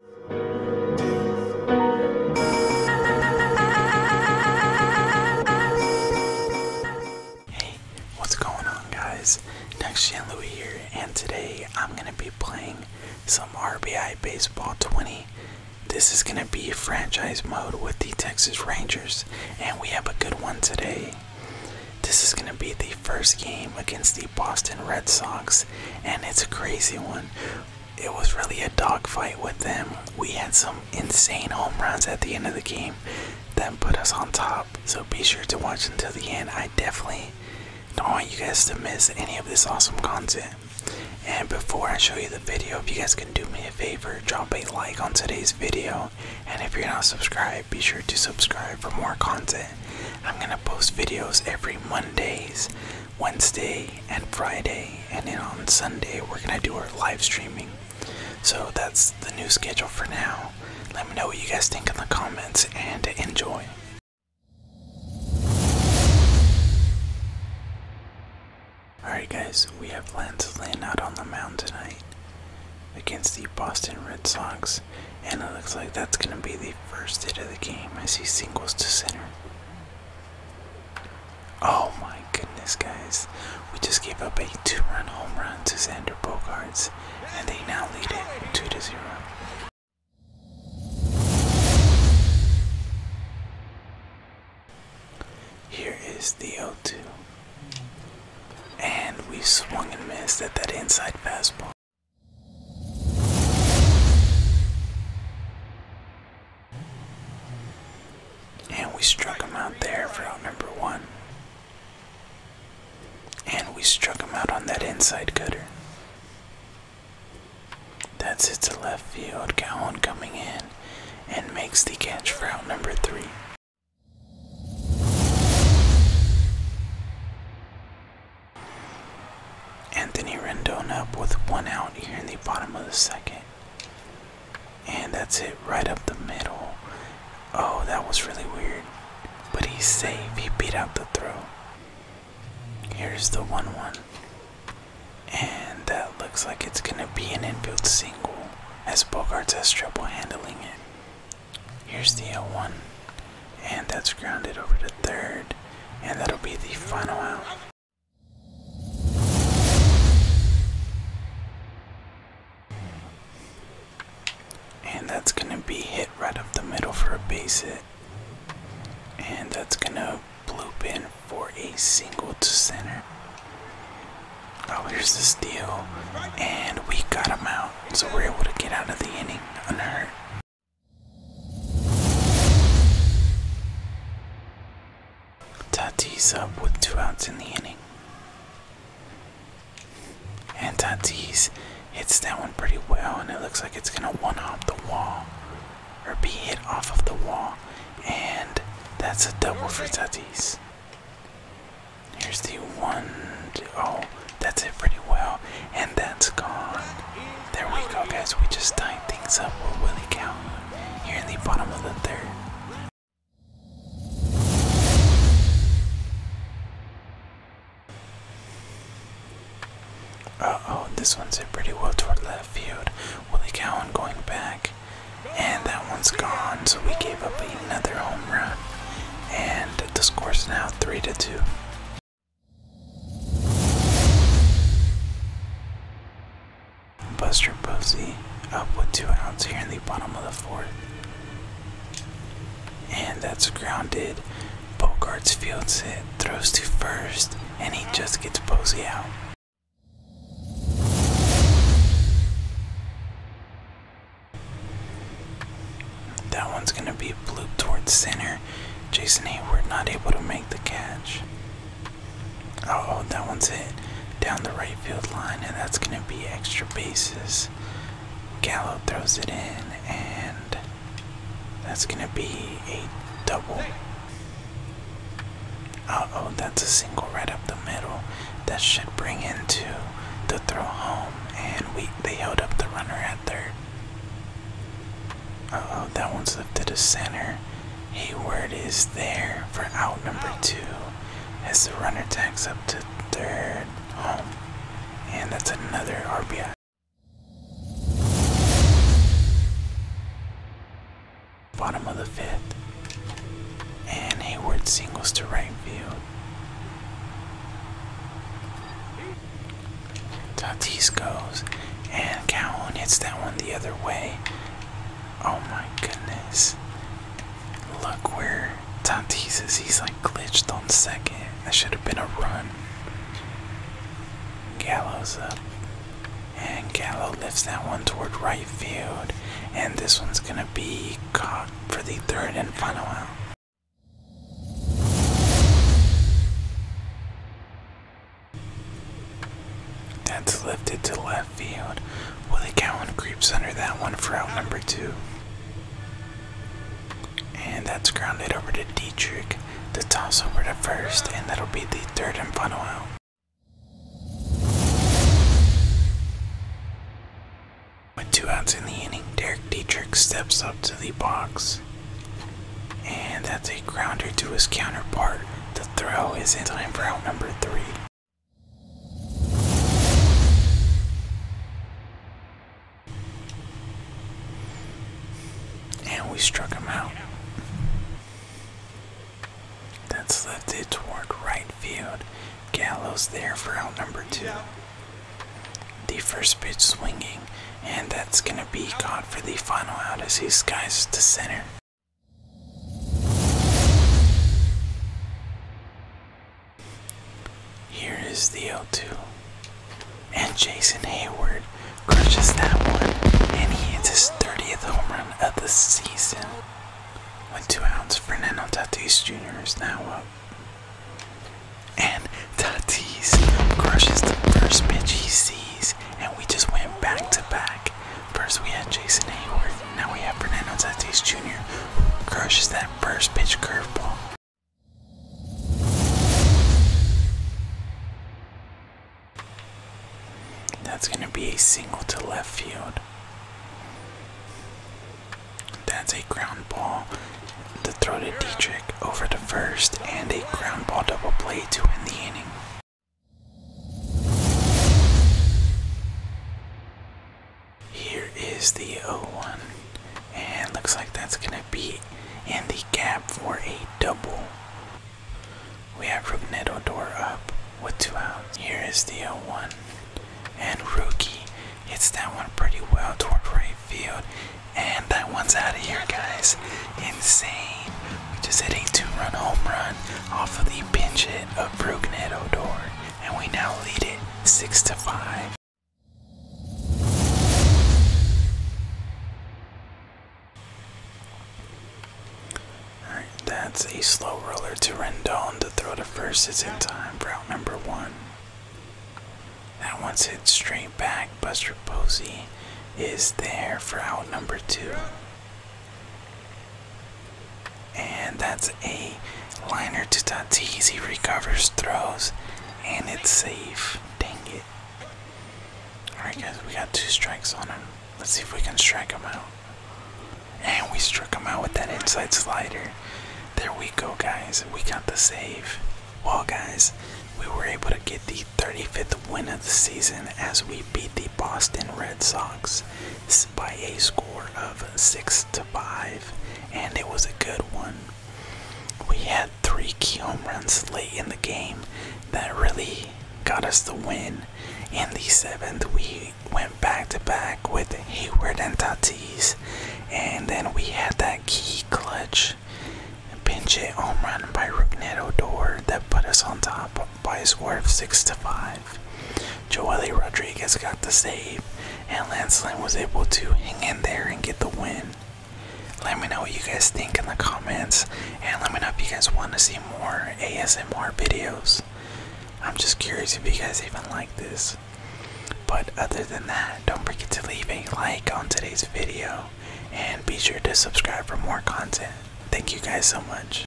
Hey, what's going on guys? Next Gen Louis here and today I'm gonna be playing some RBI Baseball 20. This is gonna be franchise mode with the Texas Rangers and we have a good one today. This is gonna be the first game against the Boston Red Sox, and it's a crazy one. It was really a dogfight with them. We had some insane home runs at the end of the game that put us on top. So be sure to watch until the end. I definitely don't want you guys to miss any of this awesome content. And before I show you the video, if you guys can do me a favor, drop a like on today's video. And if you're not subscribed, be sure to subscribe for more content. I'm gonna post videos every Mondays, Wednesday, and Friday, and then on Sunday we're gonna do our live streaming. So that's the new schedule for now. Let me know what you guys think in the comments and enjoy. Alright guys, we have plans to land out on the mound tonight against the Boston Red Sox, and it looks like that's going to be the first hit of the game as he singles to center. Oh my goodness, guys. We just gave up a two run home run to Xander Bogarts, and they now lead it 2 to 0. Here is the 0 2. And we swung and missed at that inside fastball. And we struck him out there for out number one. And we struck him out on that inside cutter. That's it to left field. Calhoun coming in and makes the catch for out number three. Anthony Rendon up with one out here in the bottom of the second. And that's it right up the middle. Oh, that was really weird. But he's safe. He beat out the throw. Here's the 1 1. And that looks like it's going to be an infield single as Bogarts has trouble handling it. Here's the L1. And that's grounded over to third. And that'll be the final out. And that's going to be hit right up the middle for a base hit. And that's going to bloop in for a single to center. Oh, here's the steal, and we got him out, so we're able to get out of the inning unhurt. Tatis up with two outs in the inning. And Tatis hits that one pretty well, and it looks like it's going to one hop the wall or be hit off of the wall. And that's a double for Tatis. Here's the one, two, oh, that's it pretty well, and that's gone. There we go, guys. We just tied things up with Willie Cowan here in the bottom of the third. Uh oh, this one's it pretty well toward left field. Willie Cowan going back and that one's gone. So we gave up another home run, and the score's now three to two. Buster Posey up with two outs here in the bottom of the fourth. And that's grounded. Bogarts fields it, throws to first, and he just gets Posey out. That one's going to be a bloop towards center. Jason Hayward not able to make the catch. Uh oh, that one's hit down the right field line, and that's going to be extra bases. Gallo throws it in, and that's going to be a double. Uh oh, that's a single right up the middle. That should bring into the throw home, and we they held up the runner at third. Uh oh, that one's lifted to center. Hayward is there for out number two as the runner tags up to third home. And that's another RBI. Bottom of the fifth. And Hayward singles to right field. Tatis goes. And Calhoun hits that one the other way. Oh my goodness. Look where Tatis is. He's like glitched on second. That should have been a run. Gallows up. And Gallo lifts that one toward right field. And this one's going to be caught for the third and final out. That's lifted to left field. Willie Cowan creeps under that one for out number two. And that's grounded over to Dietrich. The toss over to first, and that'll be the third and final out. With two outs in the inning, Derek Dietrich steps up to the box. And that's a grounder to his counterpart. The throw is in time for out number three. And we struck him out. That's lifted toward right field. Gallows there for out number two. The first pitch swinging, and that's going to be caught for the final out as he skies to center. Here is the 0-2. And Jason Hayward crushes that one, and he hits his 30th home run of the season. With two outs, Fernando Tatis Jr. is now up. And Tatis crushes the first pitch he sees, and we just went back to back. First we had Jason Hayward, now we have Fernando Tatis Jr. who crushes that first pitch curveball. That's going to be a single to left field. That's a ground ball. The throw to Dietrich over the first, and a ground ball double play to end the inning. Here is the 0-1, and looks like that's going to be in the gap for a double. We have Rugnedo door up with two outs. Here is the 0-1, and Rookie hits that one pretty well toward right field, and that one's out of here, guys. Insane. We just hit a two-run home run off of the pinch hit of Rugnedo door, and we now lead it six to five that's a slow roller to Rendon. to throw the first is in time, route number one. That one's hit straight back. Buster Posey is there for out number two. And that's a liner to Tatis. He recovers, throws, and it's safe. Dang it. Alright, guys, we got two strikes on him. Let's see if we can strike him out. And we struck him out with that inside slider. There we go, guys. We got the save. Well, guys, we were able to get the 35th win of the season as we beat the Boston Red Sox by a score of 6 to 5, and it was a good one. We had three key home runs late in the game that really got us the win. In the seventh, we went back to back with Hayward and Tatis, and then we had that key clutch pinch hit home run by Rugnet Odor that put us on top by a score of 6 to 5. Joely Rodriguez got the save, and Lance was able to hang in there and get the win. Let me know what you guys think in the comments, and let me know if you guys want to see more ASMR videos. I'm just curious if you guys even like this. But other than that, don't forget to leave a like on today's video, and be sure to subscribe for more content. Thank you guys so much.